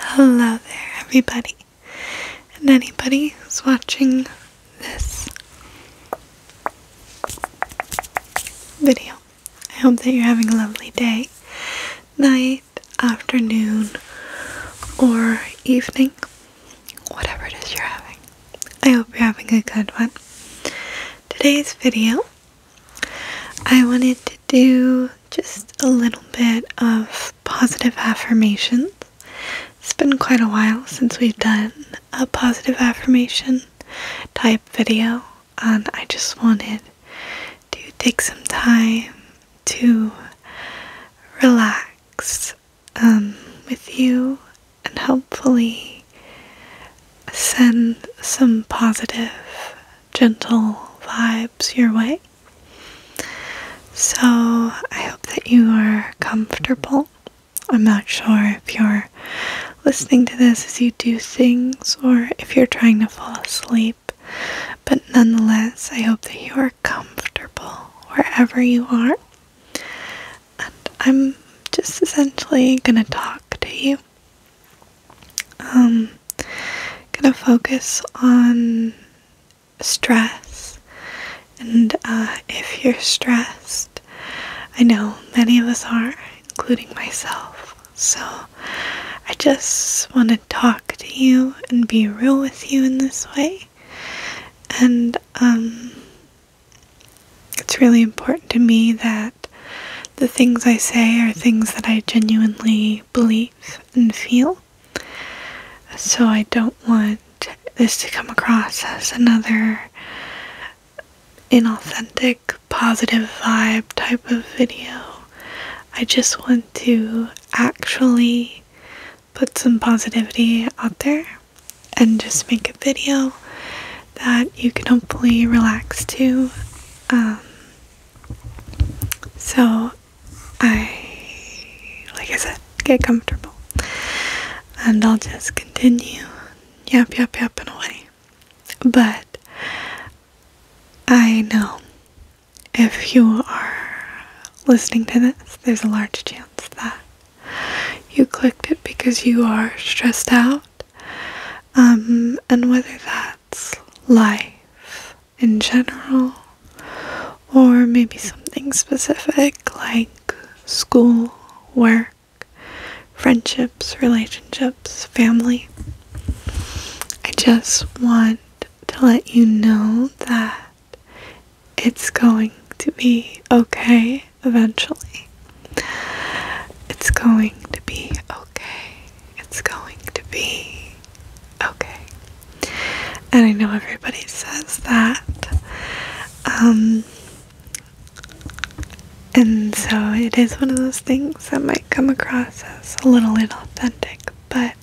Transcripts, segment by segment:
Hello there, everybody, and anybody who's watching this video. I hope that you're having a lovely day, night, afternoon, or evening, whatever it is you're having. I hope you're having a good one today's video, I wanted to do just a little bit of positive affirmations. It's been quite a while since we've done a positive affirmation type video, and I just wanted to take some time to relax um, with you and hopefully send some positive, gentle vibes your way. So, I hope that you are comfortable. I'm not sure if you're listening to this as you do things or if you're trying to fall asleep, but nonetheless, I hope that you are comfortable wherever you are and I'm just essentially gonna talk to you. Um, gonna focus on stress, and uh, if you're stressed, I know many of us are, including myself. So I just want to talk to you and be real with you in this way, and um, it's really important to me that the things I say are things that I genuinely believe and feel. So I don't want this to come across as another inauthentic, positive vibe type of video. I just want to actually put some positivity out there and just make a video that you can hopefully relax to. Um, so, I, like I said, get comfortable. And I'll just continue yep, yep, yep, and away. But I know if you are listening to this, there's a large chance that you clicked it because you are stressed out um, and whether that's life in general or maybe something specific like school, work, friendships, relationships, family. I just want to let you know that it's going to be okay eventually. It's going to be okay. It's going to be okay. And I know everybody says that. Um, and so it is one of those things that might come across as a little inauthentic, but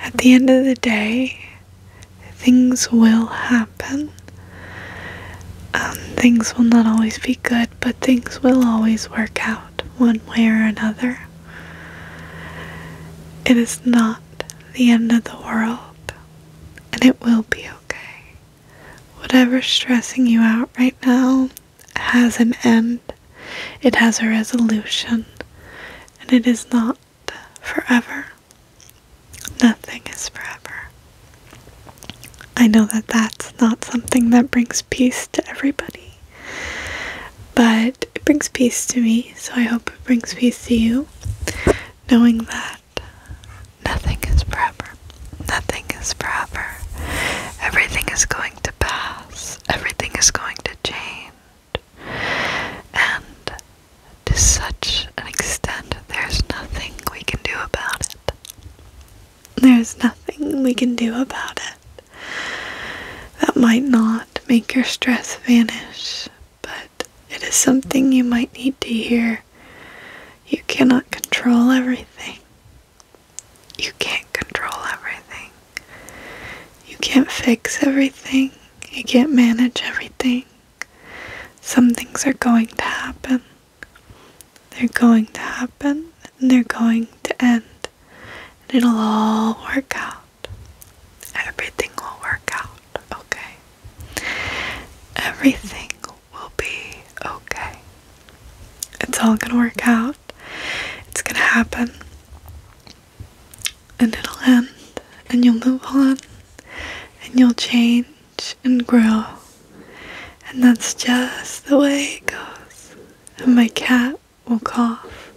at the end of the day, things will happen um, things will not always be good, but things will always work out one way or another. It is not the end of the world, and it will be okay. Whatever's stressing you out right now has an end, it has a resolution, and it is not forever. Nothing is forever. I know that that's not something that brings peace to everybody, but it brings peace to me, so I hope it brings peace to you, knowing that nothing is forever. Nothing is forever. Everything is going to pass, everything is going to change. And to such an extent, there's nothing we can do about it. There's nothing we can do about it. That might not make your stress vanish, but it is something you might need to hear. You cannot control everything. You can't control everything. You can't fix everything. You can't manage everything. Some things are going to happen. They're going to happen and they're going to end. And it'll all work out. Everything will work out, okay? Everything will be okay. It's all gonna work out. It's gonna happen. And it'll end. And you'll move on. And you'll change and grow. And that's just the way it goes. And my cat will cough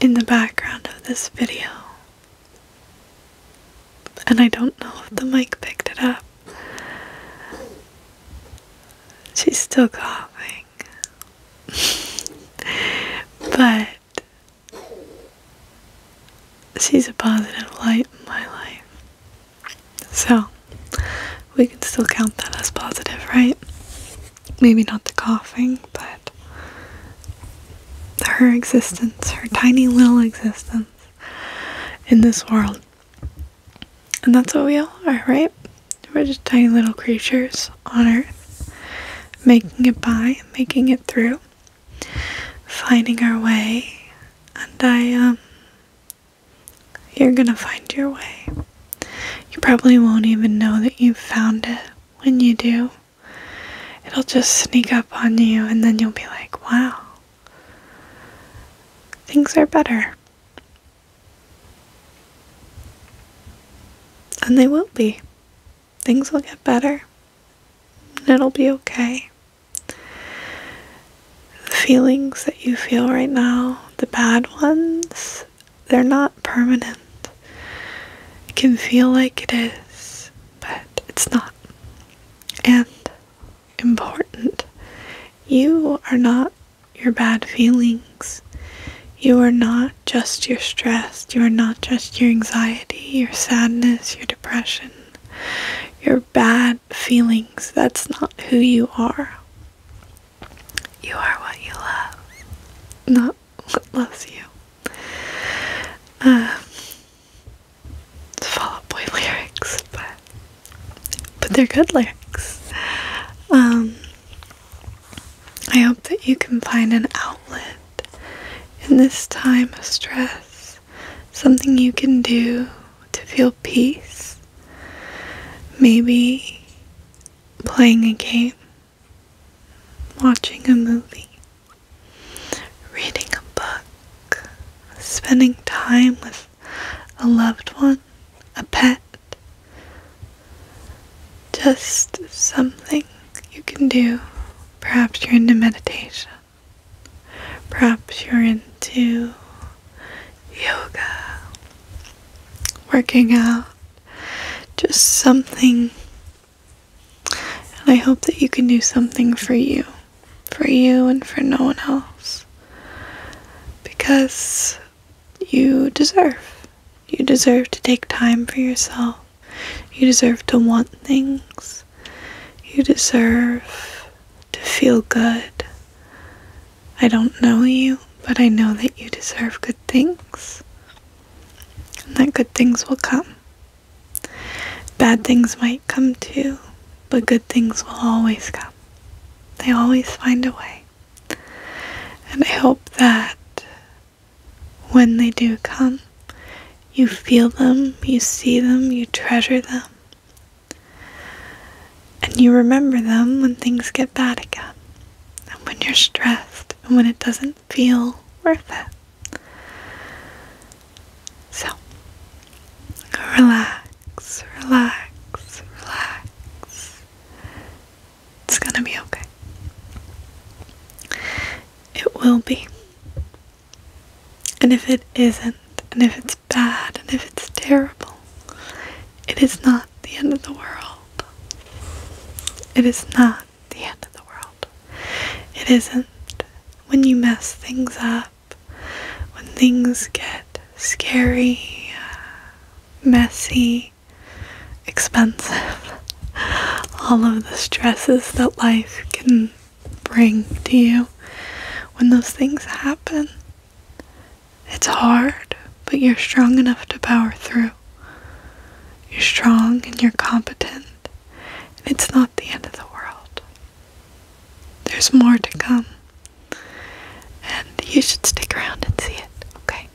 in the background of this video. And I don't know if the mic picked it up. She's still coughing. but She's a positive light in my life. So, we can still count that as positive, right? Maybe not the coughing, but her existence, her tiny little existence in this world. And that's what we all are, right? We're just tiny little creatures on earth, making it by, making it through finding our way, and I, um, you're gonna find your way. You probably won't even know that you've found it when you do. It'll just sneak up on you, and then you'll be like, wow, things are better. And they will be. Things will get better. It'll be okay. The feelings that you feel right now, the bad ones, they're not permanent. It can feel like it is, but it's not. And important, you are not your bad feelings. You are not just your stress, you are not just your anxiety, your sadness, your depression, your bad feelings. That's not who you are. You are what you love, not what loves you. Uh, um, Fall Out Boy lyrics, but but they're good lyrics. Um, I hope that you can find an outlet in this time of stress something you can do to feel peace. Maybe playing a game, watching a movie, reading a book, spending time with a loved one, a pet. Just something you can do. Perhaps you're into meditation. Perhaps you're into yoga, working out, just something. And I hope that you can do something for you, for you and for no one else. Because you deserve. You deserve to take time for yourself. You deserve to want things. You deserve to feel good. I don't know you, but I know that you deserve good things. And that good things will come. Bad things might come too, but good things will always come. They always find a way. And I hope that when they do come, you feel them, you see them, you treasure them. And you remember them when things get bad again, and when you're stressed, and when it doesn't feel worth it. So, relax, relax, relax. It's gonna be okay. It will be. And if it isn't, and if it's bad, and if it's terrible, it is not the end of the world. It is not the end of the world. It isn't when you mess things up, when things get scary, messy, expensive, all of the stresses that life can bring to you when those things happen. It's hard, but you're strong enough to power through. You're strong and you're competent, and it's not the end of the world. There's more to come, and you should stick around and see it, okay?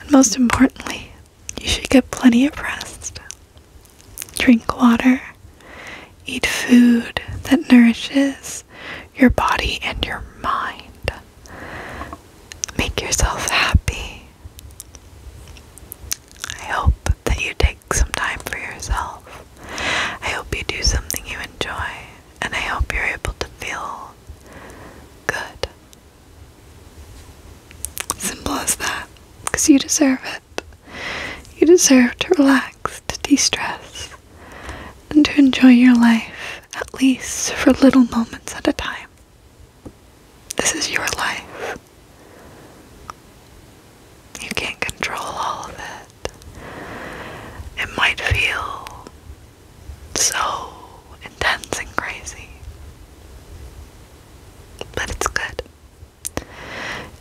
And most importantly, you should get plenty of rest. Drink water. Eat food that nourishes your body and your mind. Make yourself happy. I hope that you take some time for yourself. I hope you do something you enjoy, and I hope you're able to feel good. Simple as that, because you deserve it. You deserve to relax, to de stress, and to enjoy your life, at least for little moments at a time. This is your life. You can't control all of it. It might feel so intense and crazy but it's good.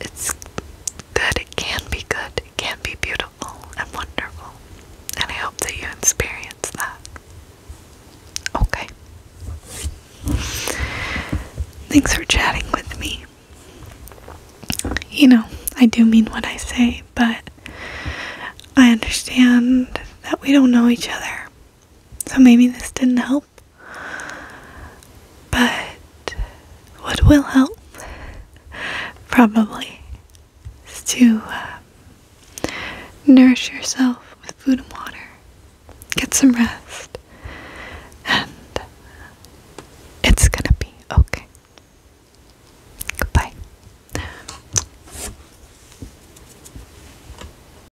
It's good, it can be good, it can be beautiful and wonderful, and I hope that you experience that. Okay. Thanks for chatting with me. You know, I do mean what I say, but I understand that we don't know each other so maybe this didn't help. But what will help, probably, is to uh, nourish yourself with food and water, get some rest, and it's gonna be okay. Goodbye.